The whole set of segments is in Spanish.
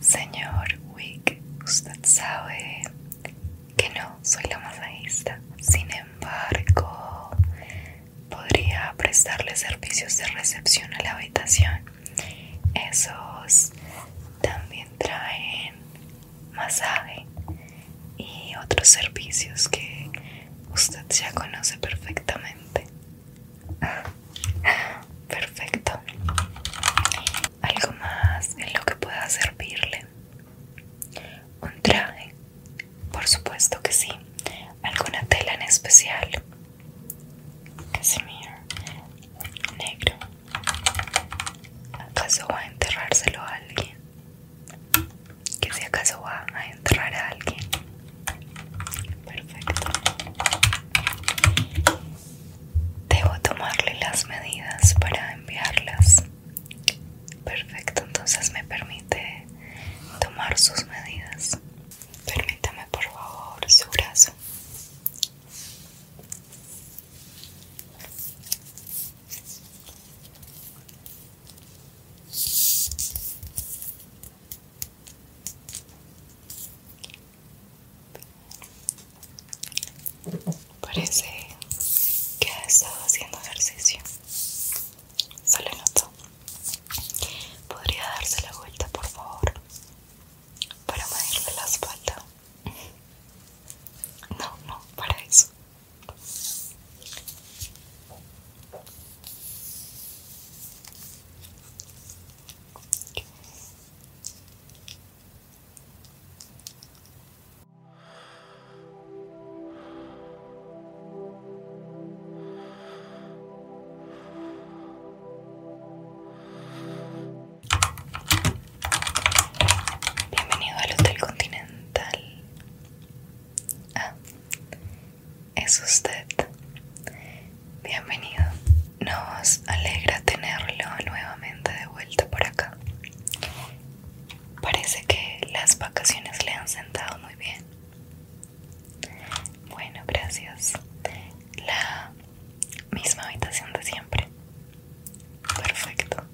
Señor Wick, usted sabe que no soy la masajista. Sin embargo, podría prestarle servicios de recepción a la habitación. Esos también traen masaje y otros servicios que usted ya conoce perfectamente. Perfecto. Algo más en lo que pueda servirle. Un traje. Por supuesto que sí. Alguna tela en especial. Casimir. Negro. ¿Acaso va a enterrárselo a alguien? Que si acaso va a enterrar a alguien. Perfecto. Debo tomarle las medidas para enviarlas. Perfecto, entonces me permite tomar sus medidas. Permítame por favor su brazo. Parece que ha estado haciendo ejercicio. Solo ¿Podría darse la vuelta, por favor? Para medirle la espalda. No, no, para eso. Bienvenido al Hotel Continental. Ah, es usted. Bienvenido. Nos alegra tenerlo nuevamente de vuelta por acá. Parece que las vacaciones le han sentado muy bien. Bueno, gracias. La misma habitación de siempre. Perfecto.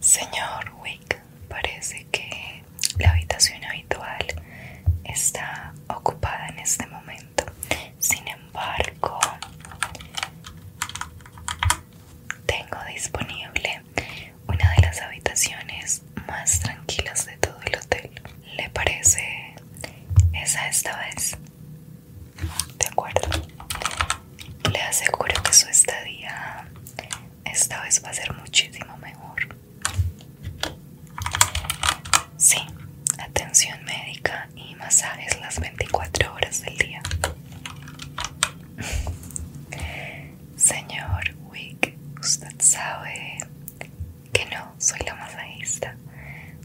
Señor Wick, Parece que la habitación habitual está ocupada en este momento. Sin embargo, tengo disponible una de las habitaciones más tranquilas de todo el hotel. ¿Le parece esa esta vez? De acuerdo. Le aseguro que su estadía esta vez va a ser muchísimo mejor. Sí, atención médica y masajes las 24 horas del día. Señor Wick, usted sabe que no soy la masajista,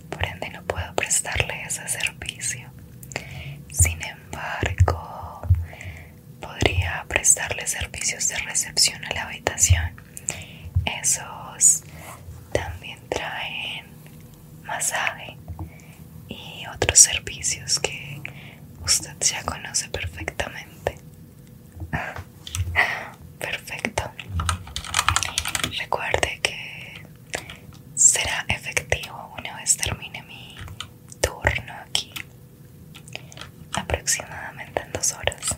por ende no puedo prestarle ese servicio. Sin embargo, podría prestarle servicios de recepción a la habitación. Esos también traen masaje y otros servicios que usted ya conoce perfectamente. Perfecto. Recuerde que será efectivo una vez termine mi turno aquí aproximadamente en dos horas.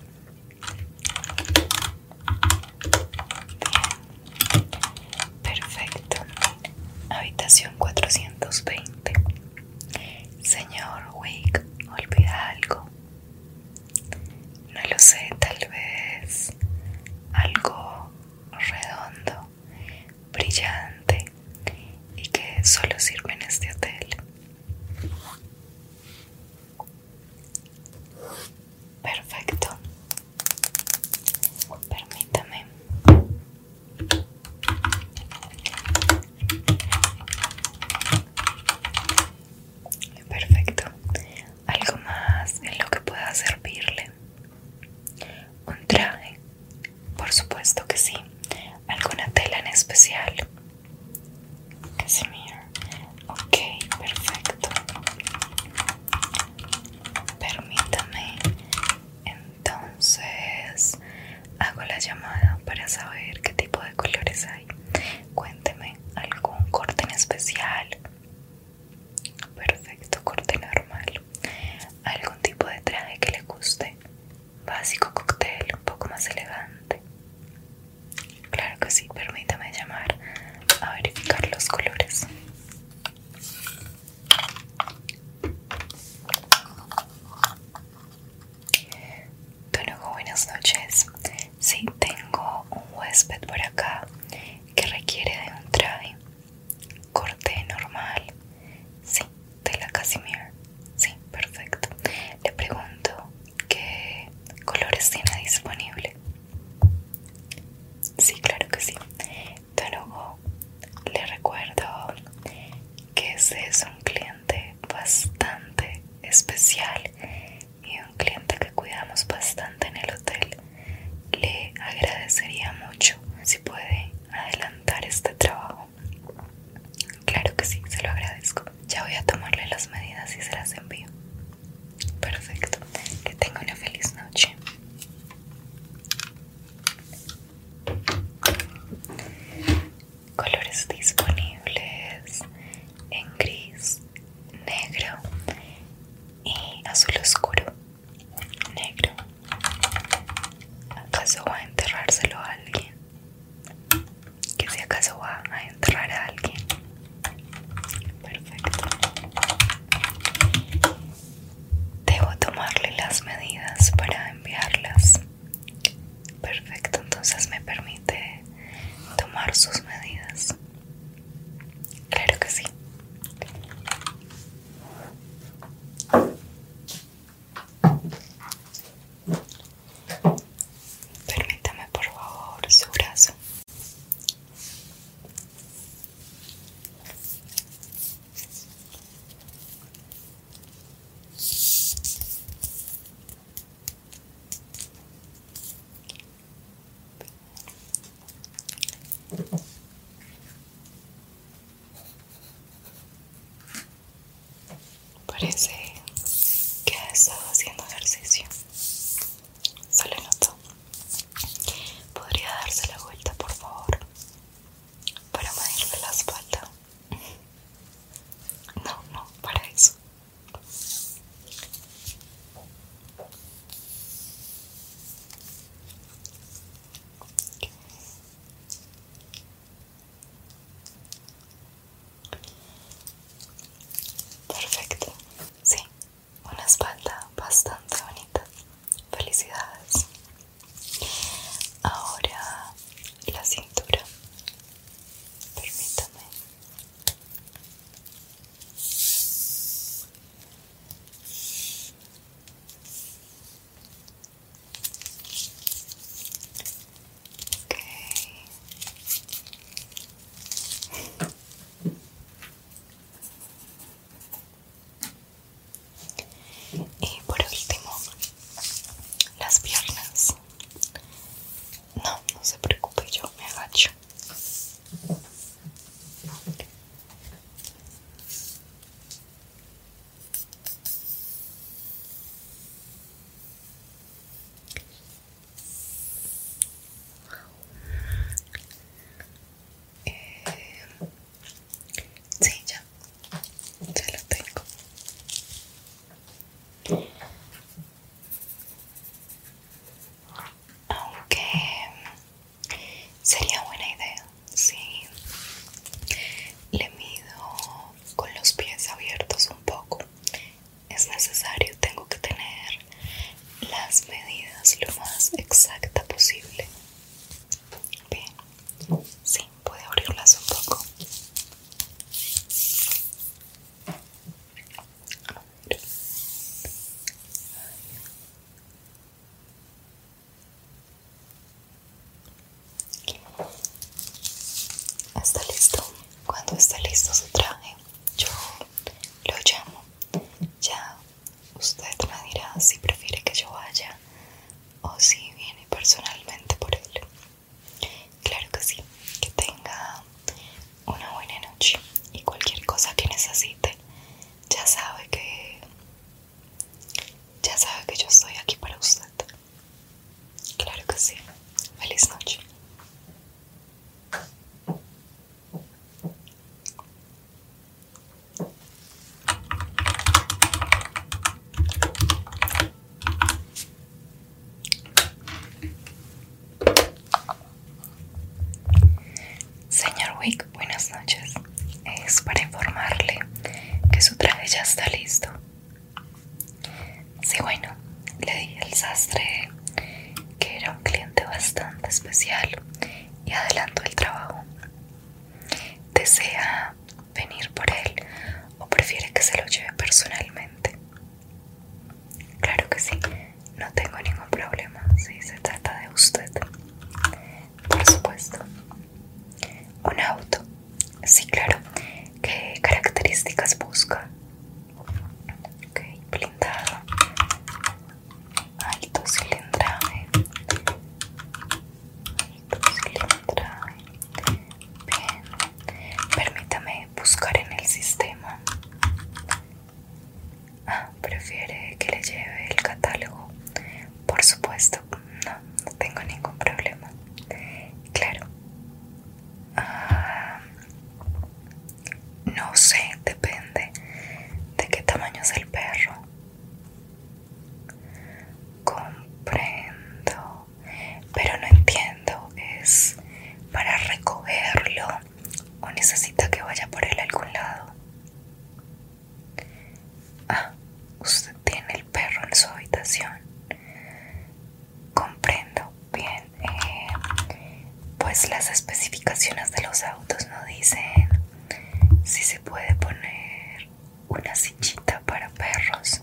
Bien, perfecto. Habitación 420. Señor Wick, ¿olvida algo? No lo sé, tal vez algo redondo brillante y que solo sirve en este hotel. Perfecto. Permítame. Perfecto. Algo más en lo que pueda servirle. ¿Un traje? Por supuesto que sí. ¿Alguna tela en especial? Ok, perfecto. Permítame. Entonces, hago la llamada para saber qué tipo de colores hay. Cuénteme, ¿algún corte en especial? Perfecto, corte normal. ¿Algún tipo de traje que le guste? básico cóctel un poco más elegante. Claro que sí, permítame llamar a verificar los colores. Tonugo, buenas noches. Sí, tengo un huésped por acá que requiere de un traje. Corte normal. Sí, la casimir. Sí, perfecto. Le pregunto qué colores tiene disponible. Sí, claro que sí. de luego le recuerdo que ese es un cliente bastante especial y un cliente que cuidamos bastante en el hotel. Le agradecería mucho si puede adelantar este trabajo. Claro que sí, se lo agradezco. Ya voy a tomarle las medidas y se las envío. Perfecto. Que tenga una feliz noche. Colores disponibles en gris, negro y azul oscuro. Negro. ¿Acaso va a enterrárselo a alguien? ¿Que si acaso va a enterrar a alguien? Perfecto. Debo tomarle las medidas para enviarlas. Perfecto, entonces me permite tomar sus medidas. Claro que sí. Permítame por favor su brazo. Parece que ha estado haciendo ejercicio. Solo noto ¿Podría darse la vuelta, por favor? Para medirle la espalda. No, no, para eso. Perfecto. Sí, una espalda bastante bonita. Felicidades. Ahora la cintura. Permítame. Y por último, las piernas. No, no se preocupe, yo me agacho. Eh, sí, ya, ya lo tengo. Aunque Sería buena idea, si Le mido con los pies abiertos un poco. Es necesario, tengo que tener las medidas lo más exacta posible. Bien, sí, puede abrirlas un poco. Está listo. Cuando esté listo su traje, yo lo llamo. Ya usted me dirá si prefiere que yo vaya o si viene personalmente por él. Claro que sí. Que tenga una buena noche y cualquier cosa que necesite, ya sabe que ya sabe que yo estoy aquí para usted. Claro que sí. Feliz noche. Señor Wick, buenas noches. Es para informarle que su traje ya está listo. Sí, bueno, le dije al sastre que era un cliente bastante especial y adelanto el trabajo. ¿Desea venir por él o prefiere que se lo lleve personalmente? Claro que sí, no tengo ningún problema si se trata de usted por supuesto. Un auto, sí, claro. ¿Qué características busca? Ok, blindado, alto cilindraje, alto Bien, permítame buscar en el sistema. ¿Prefiere que le lleve el catálogo? Por supuesto, no, no tengo ningún problema. Claro. Ah, no sé, depende de qué tamaño es el perro. Comprendo, pero no entiendo. ¿Es para recogerlo o necesita que vaya por él a algún lado? Ah, usted tiene el perro en su habitación. Comprendo. Bien. Eh, pues las especificaciones de los autos no dicen si se puede poner una sillita para perros.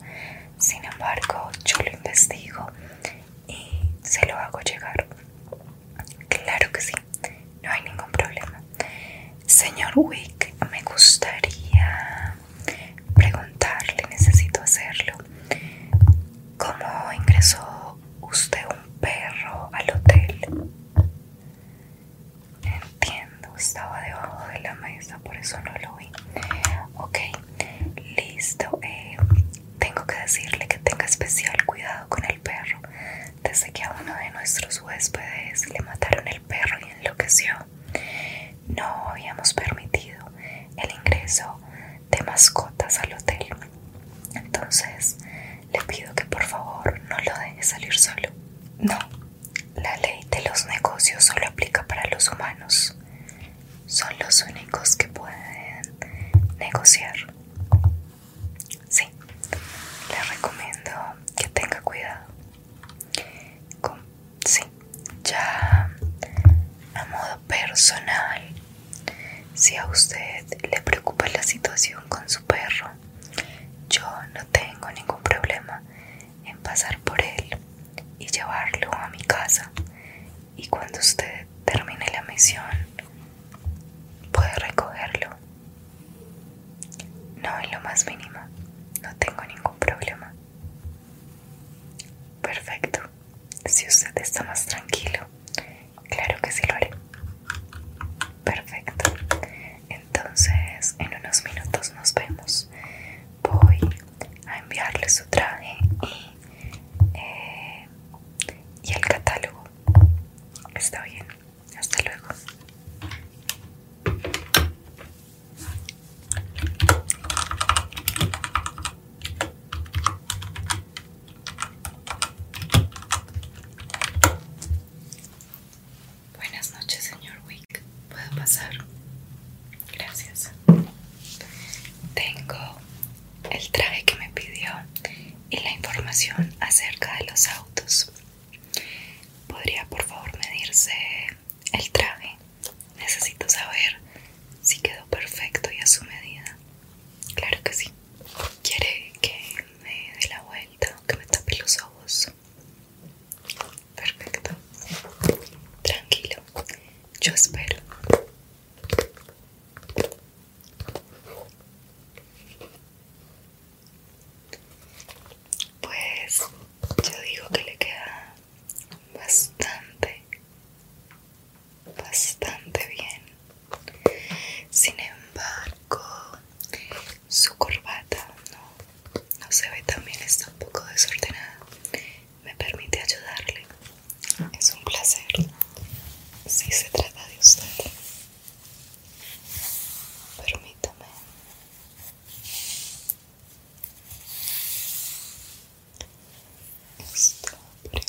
Sin embargo, yo lo investigo y se lo hago llegar. Claro que sí, no hay ningún problema. Señor Wick, me gustaría preguntarle, necesito hacerlo. ¿Cómo ingresó usted un perro al hotel? Entiendo, estaba debajo de la mesa, por eso no lo vi. Ok, listo. Eh, tengo que decirle que tenga especial cuidado con el perro desde que a uno de nuestros huéspedes le mataron el perro y enloqueció. No habíamos permitido el ingreso de mascotas al hotel. Entonces, le pido que por favor no lo deje salir solo. No, la ley de los negocios solo aplica para los humanos. Son los únicos que pueden negociar. Sí, le recomiendo que tenga cuidado. sí, ya a modo personal, si a usted le preocupa la situación con su perro, yo no tengo ningún problema en pasar por él y llevarlo a mi casa. Y cuando usted termine la misión, puede recogerlo no, en lo más mínimo. No tengo ningún problema. Perfecto. Si usted está más tranquilo, claro que sí lo haré. Perfecto. Entonces, en unos minutos nos vemos. Voy a enviarle su traje y, eh, y el catálogo. Está bien. Hasta luego. Buenas noches, señor Wick. ¿Puedo pasar? Gracias. Tengo el traje que me pidió y la información acerca de los ¿Podría por favor medirse el traje? Necesito saber si quedó perfecto y a su medida. Claro que sí. ¿Quiere que me dé la vuelta o que me tape los ojos? Perfecto. Tranquilo. Yo espero. Pues yo digo que le queda bastante, bastante bien. Sin embargo, su corbata no, se ve tan bien, está un poco desordenada. Me permite ayudarle. Es un placer. Si se trata de usted. permítame estar por encima Permítame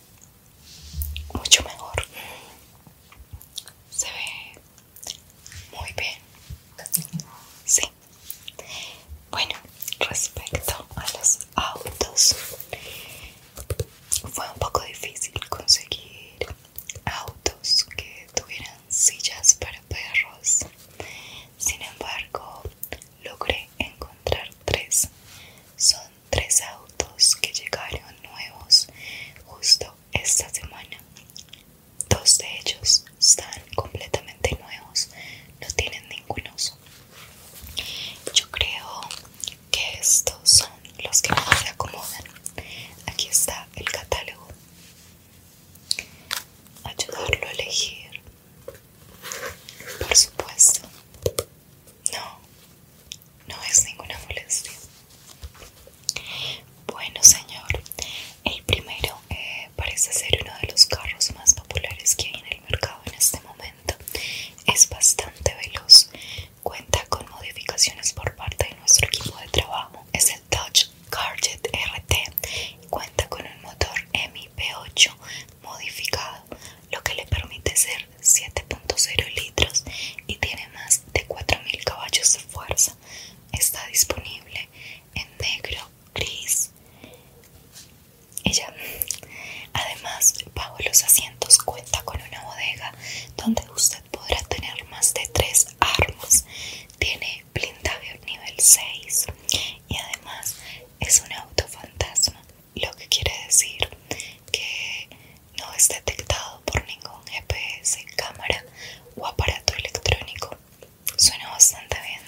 mucho mejor se ve muy bien sí bueno respecto a los autos fue un poco difícil conseguir autos que tuvieran sillas para perros sin embargo logré encontrar tres son tres autos que llegaron nuevos justo esta semana. Dos de ellos están completamente nuevos, no tienen ningún uso. Yo creo que estos son los que más se acomodan. Aquí está el catálogo. Ayudarlo a elegir. Por supuesto. No, no es ninguna molestia. Bueno, señor, el primero eh, parece ser uno de los carros más populares que hay en el mercado en este momento. Es bastante veloz. Cuenta con modificaciones por parte de nuestro equipo de trabajo. Es el Dodge Charger RT. Cuenta con un motor MIP8 modificado, lo que le permite ser 7.0 litros y tiene más de 4.000 caballos de fuerza. Está disponible en negro, gris. Ella, además, bajo los asientos cuenta con una bodega donde usted podrá tener más de 3 armas. Tiene blindaje nivel 6 y además es un auto fantasma, lo que quiere decir que no es detectado por ningún GPS, cámara o aparato electrónico. Suena bastante bien,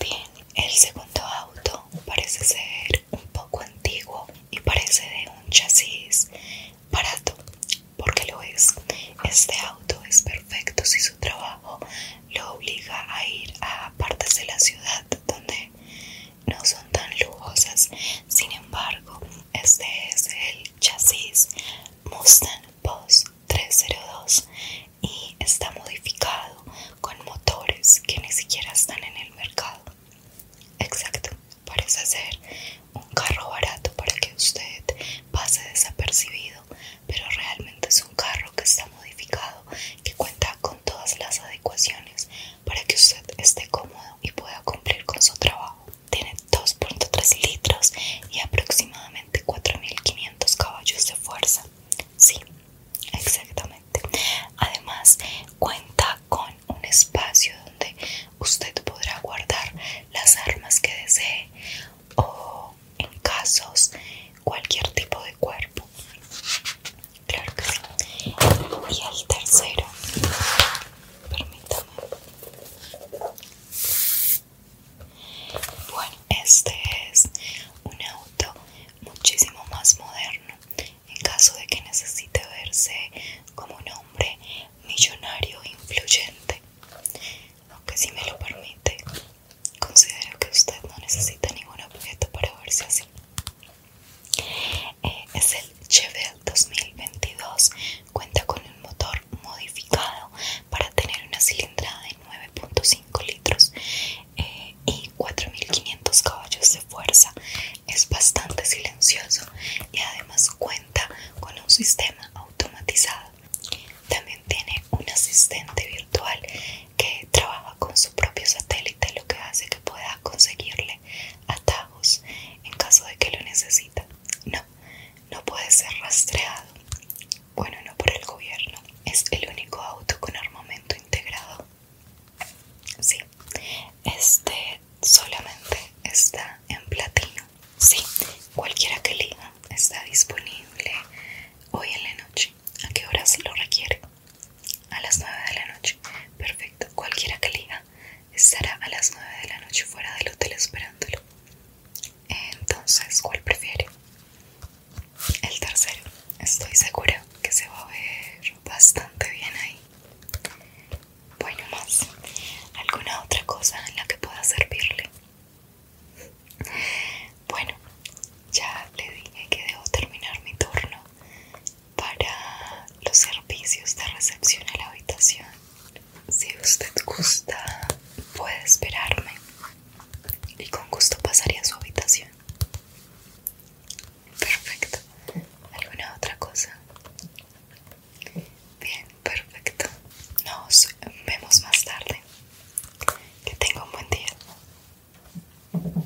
Bien, el segundo auto parece ser un poco antiguo y parece de un chasis barato, porque lo es. Este auto es perfecto si su trabajo lo obliga a ir a partes de la ciudad donde no son tan lujosas, sin embargo, este es el chasis Mustang Post 302 y está modificado con motores que ni siquiera están en el mercado. Exacto, parece ser un carro barato para que usted pase desapercibido, pero realmente es un carro que está modificado, que cuenta con todas las adecuaciones para que usted esté cómodo y pueda cumplir con su trabajo. Tiene 2.3 litros y aproximadamente 4.500 caballos de fuerza. Sí, exactamente. Además, cuenta con un espacio donde usted podrá guardar las armas que desee o en casos cualquier tipo de cuerpo Claro que sí. Y el tercero, permítame. Bueno, este es un auto muchísimo más moderno. En caso de que necesite verse como un hombre millonario influyente, aunque si me lo permite, considero que usted no necesita ningún objeto para verse así. Eh, es el Chevelle 2022. Cuenta con un motor modificado para tener una cilindrada de 9.5 litros eh, y 4.500 caballos de fuerza. Es bastante silencioso y además cuenta con un sistema automatizado. También tiene un asistente virtual que trabaja con su propio satélite, lo que hace que pueda conseguirle atajos en caso de que lo necesita. No, no puede ser rastreado. Bueno, no por el gobierno. Es el único auto con armamento integrado. Sí, este solamente está en platino. Sí, cualquiera que liga está disponible hoy en la noche. ¿A qué hora se lo requiere? A las nueve de la noche. Perfecto. Cualquiera que liga estará a las nueve de la noche fuera del hotel esperándolo. Entonces, ¿cuál prefiere? El tercero. Estoy seguro que se va a ver bastante bien ahí. Bueno, más. ¿Alguna otra cosa en la que pueda servirle? Bueno, ya le dije que debo terminar mi turno para los servicios de recepción a la habitación. Si usted gusta, puede esperarme y con gusto pasaría a su habitación. Perfecto. ¿Alguna otra cosa? Bien, perfecto. Nos vemos más tarde. Que tenga un buen día.